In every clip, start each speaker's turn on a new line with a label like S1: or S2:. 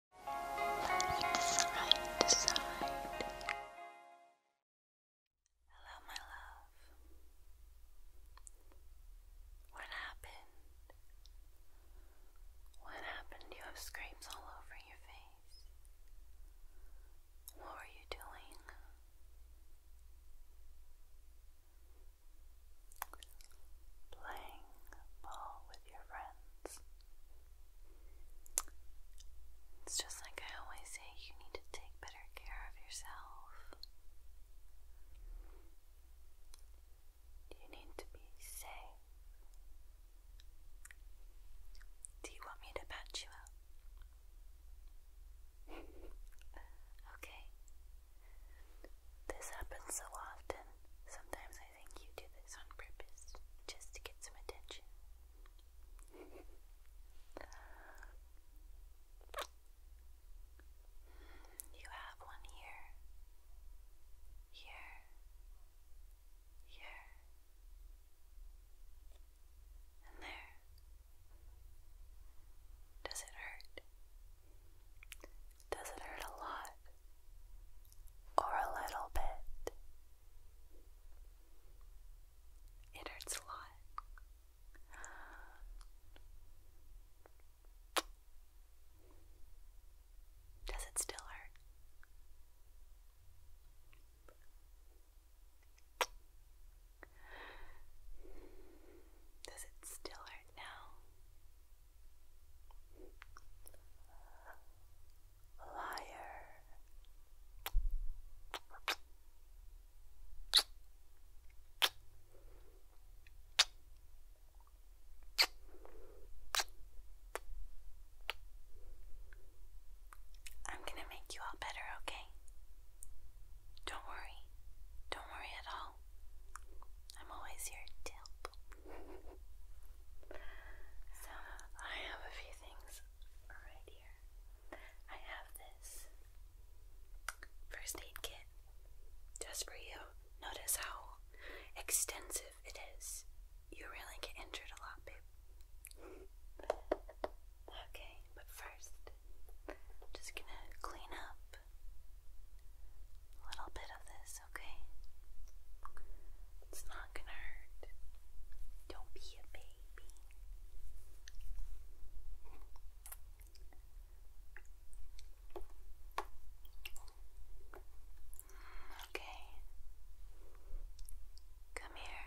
S1: Look side to side. Hello, my love. What happened? What happened? You have scrapes all over your face. What were you doing? Playing ball with your friends. It's just like I always say you need to take better care of yourself. You need to be safe. Do you want me to pat you up? okay. This happens so often. Sometimes I think you do this on purpose, just to get some attention. You have one here, here, here, and there. Does it hurt? Does it hurt a lot? or a little bit. It hurts a lot. Does it still hurt? Does it still hurt now? Liar. I'm going to make you all better, okay? Don't worry. Don't worry at all. I'm always here to So I have a few things right here. I have this first aid kit just for you. Notice how extensive it is. You really get injured a lot, babe. Okay, but first, I'm just gonna clean up a little bit of this okay? It's not gonna hurt. Don't be a baby. Okay. Come here.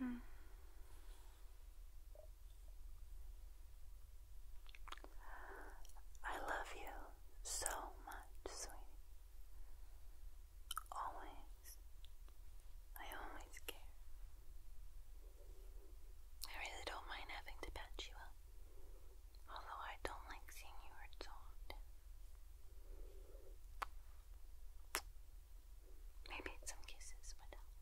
S1: Mm I love you so much, sweetie. Always, I always care. I really don't mind having to patch you up, although I don't like seeing you hurt so often. Maybe some kisses would help.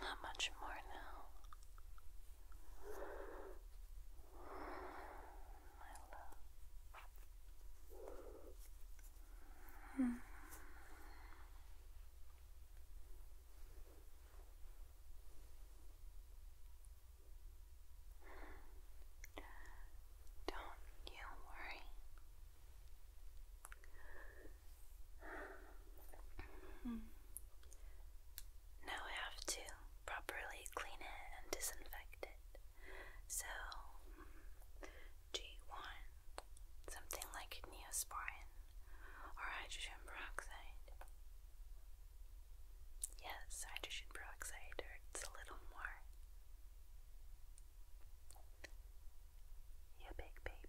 S1: Not much more now. My love. Hmm. Don't you worry. Hmm. Now I have to properly clean it and disinfect it. So, do you want something like neosporin or hydrogen peroxide? Yes, hydrogen peroxide hurts a little more. You big baby.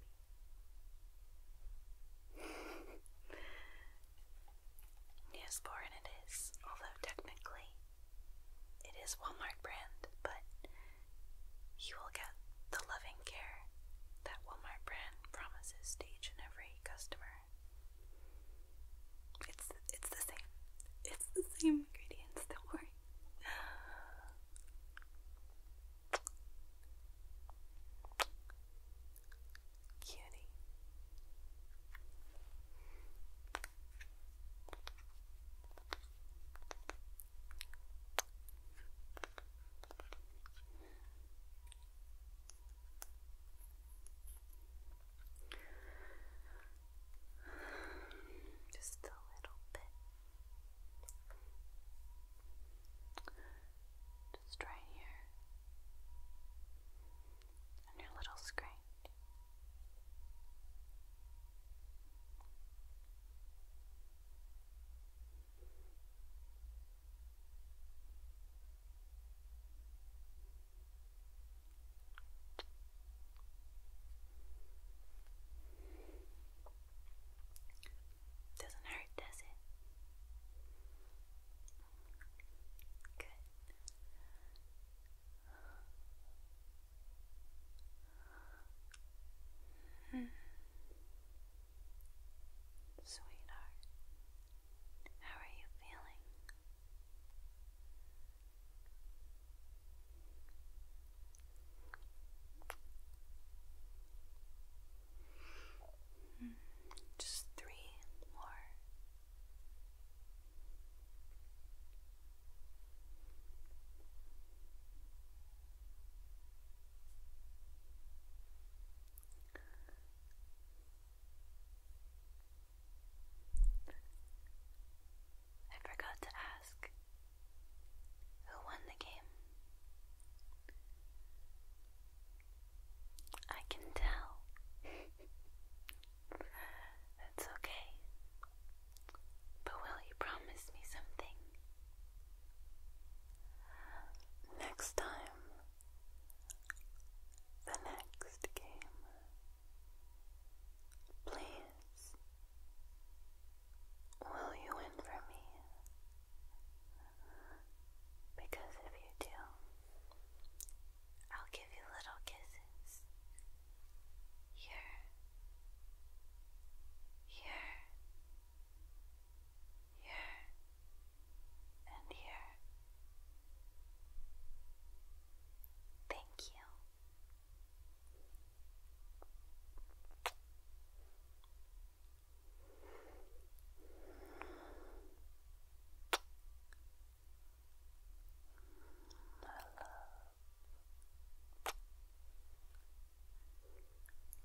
S1: Neosporin it is, although technically it is Walmart brand, but you will get the loving care that Walmart brand promises to each and every customer. It's it's the same. It's the same ingredients, don't worry. Cutie. Just a little bit just right here on your little screen. Doesn't hurt, does it? Good. Hmm. Sweetheart, how are you feeling? Just three more. I forgot to ask who won the game. I can tell. That's okay. But will you promise me something? Next time, the next game, please, will you win for me? Because if you do, I'll give you little kisses. Here, here, here, and here. Thank you.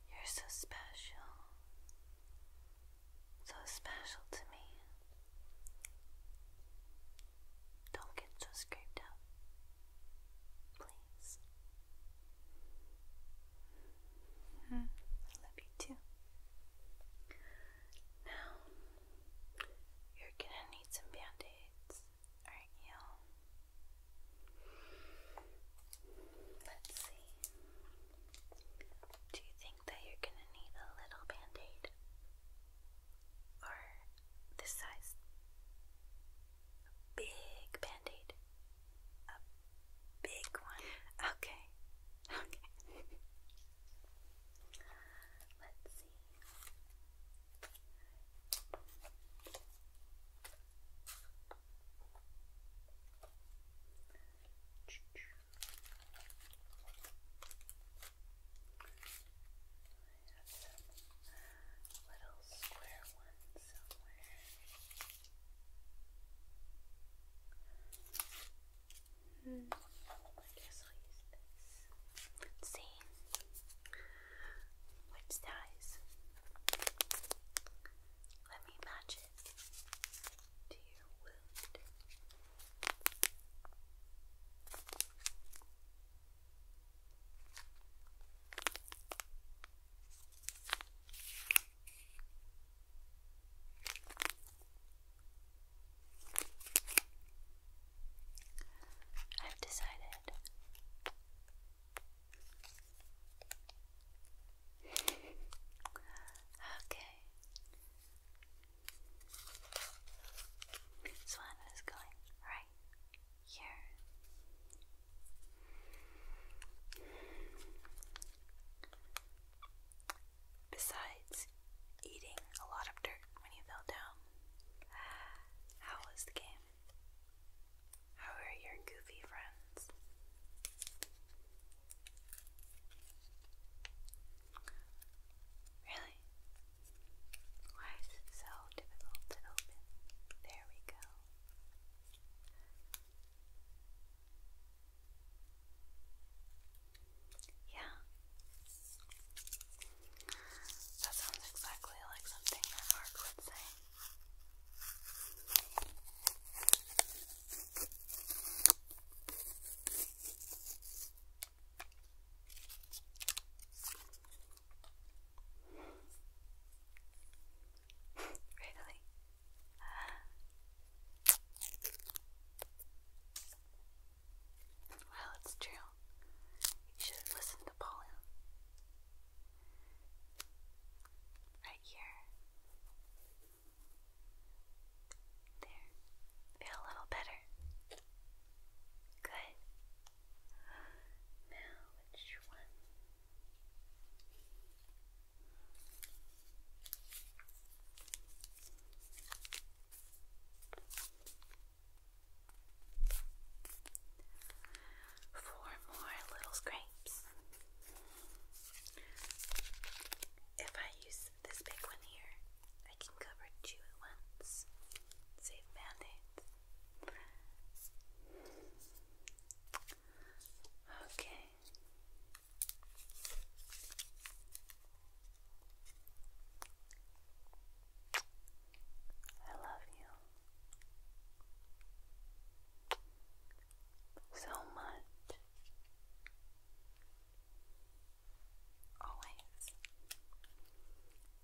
S1: You're so special, so special to me. Don't get so scraped up, please. Mm, I love you too. Now, you're gonna need some band aids, aren't you? Let's see. Do you think that you're gonna need a little band aid? Or this size? big band aid? big one. Okay. Okay. Let's see. little square ones somewhere. Hmm. Let's see. Which size? Let me match it to I've decided okay this one is going right here Besides eating a lot of dirt when you fell down, how was the game? How are your goofy friends? Really? Why is it so difficult to open? There we go. Yeah. That sounds exactly like something Mark would say. really? Well, it's true. You should have to Paula. Right here. There. Feel a little better. Good. Now, which one? Four more little scrapes. If I use this big one here, I can cover two at once. Save band aids. Okay. I love you so much. Always.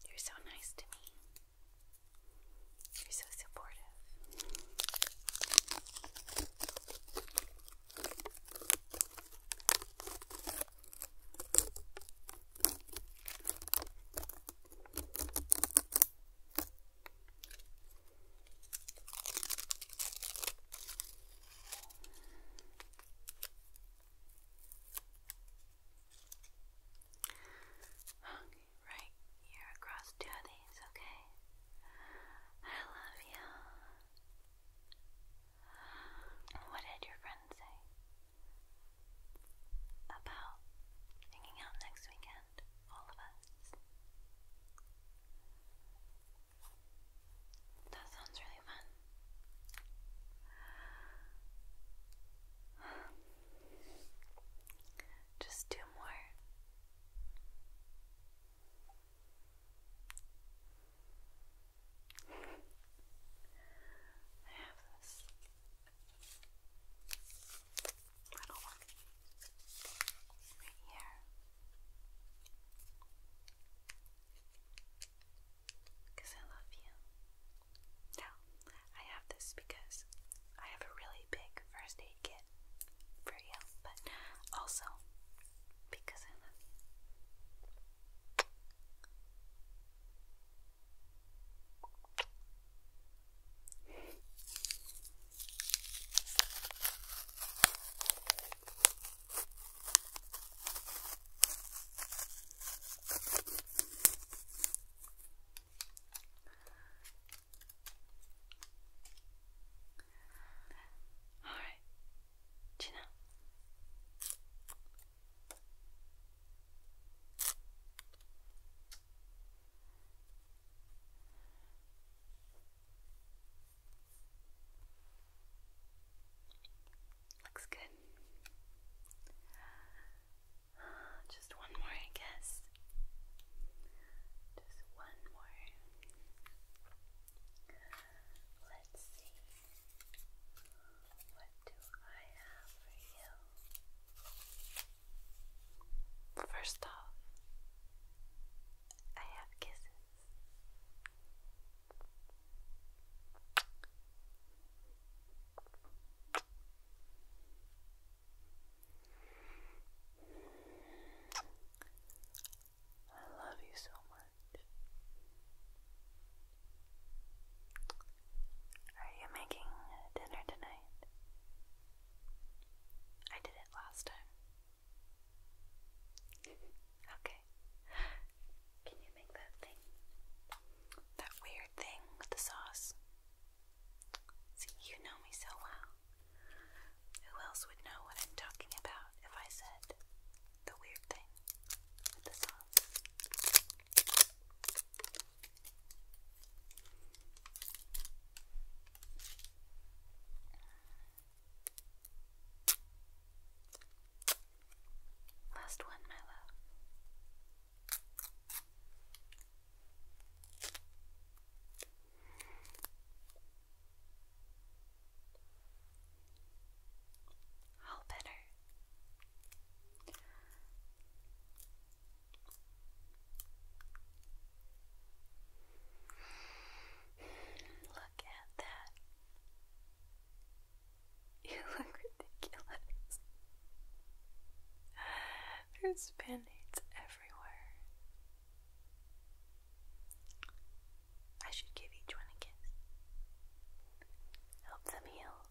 S1: You're so nice to me. You're so supportive. Hung right here across two of these, okay? I love you. What did your friend say about hanging out next weekend, all of us? That sounds really fun. Just two more. I have this little one right here. Because I love you. Now, I have this because I have a really big first aid kit for but also because I love you. Alright, Gina. Looks good. Just one more, I guess. Just one more. Let's see. What do I have for you? First off, I have kisses. I love you so much. Are you making dinner tonight? I did it last time. Okay. Can you make that thing? That weird thing with the sauce? you know me so well. Who else would know what I'm talking about if I said the weird thing Last one, my love. All better. Look at that. You look ridiculous. There's band-aids everywhere. I should give each one a kiss. Help them heal.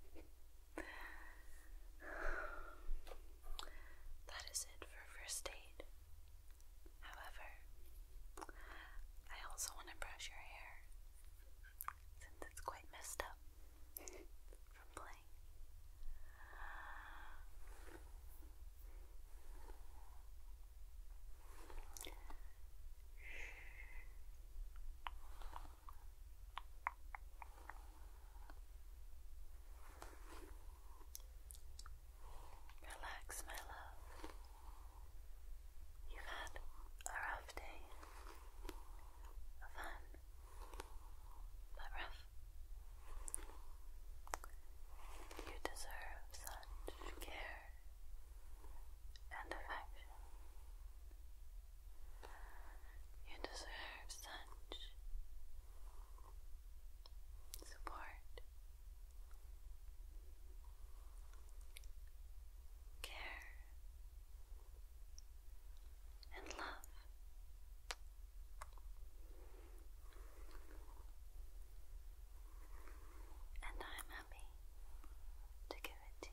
S1: that is it for first aid. However, I also want to brush your hair since it's quite messed up from playing. Relax, my love. You've had a rough day. A fun, but rough. You deserve such care and affection. You deserve such support care, and love. And I'm happy to give it to you.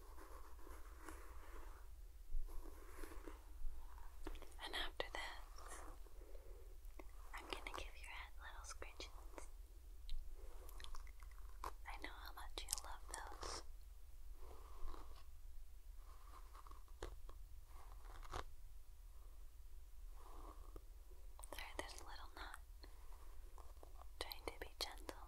S1: And after that, I'm gonna give your head little scratches. I know how much you love those. Sorry, there's a little knot. Trying to be gentle.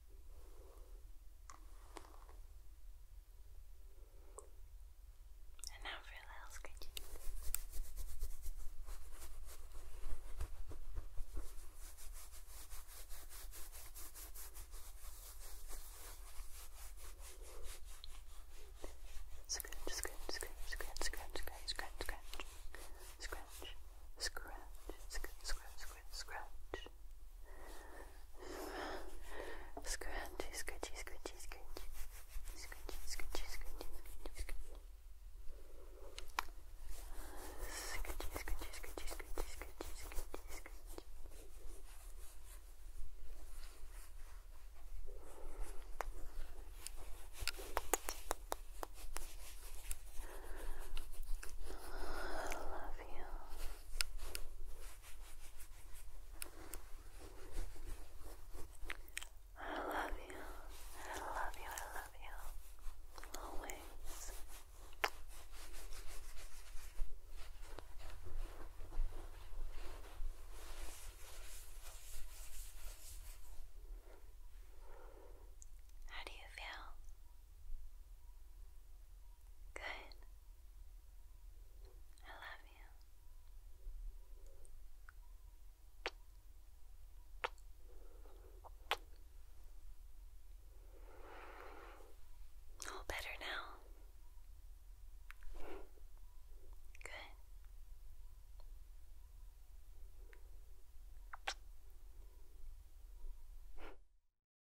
S1: And now for a little sketchy. Scratch, scratch, scratch, scratch, scratch, scratch, scratch, scratch, scratch, scratch, scratch, scratch, scratch, scratch, scratch, Scratchy, scratchy, scratchy, scratchy. Scratchy, scratchy, scratchy, scratchy, scratchy. Scratchy, scratchy, scratchy, scratchy, scratchy, scratchy, scratchy. I love you. I love you. I love you. I love you. Always. How do you feel? Good. I love you. All better now. Good.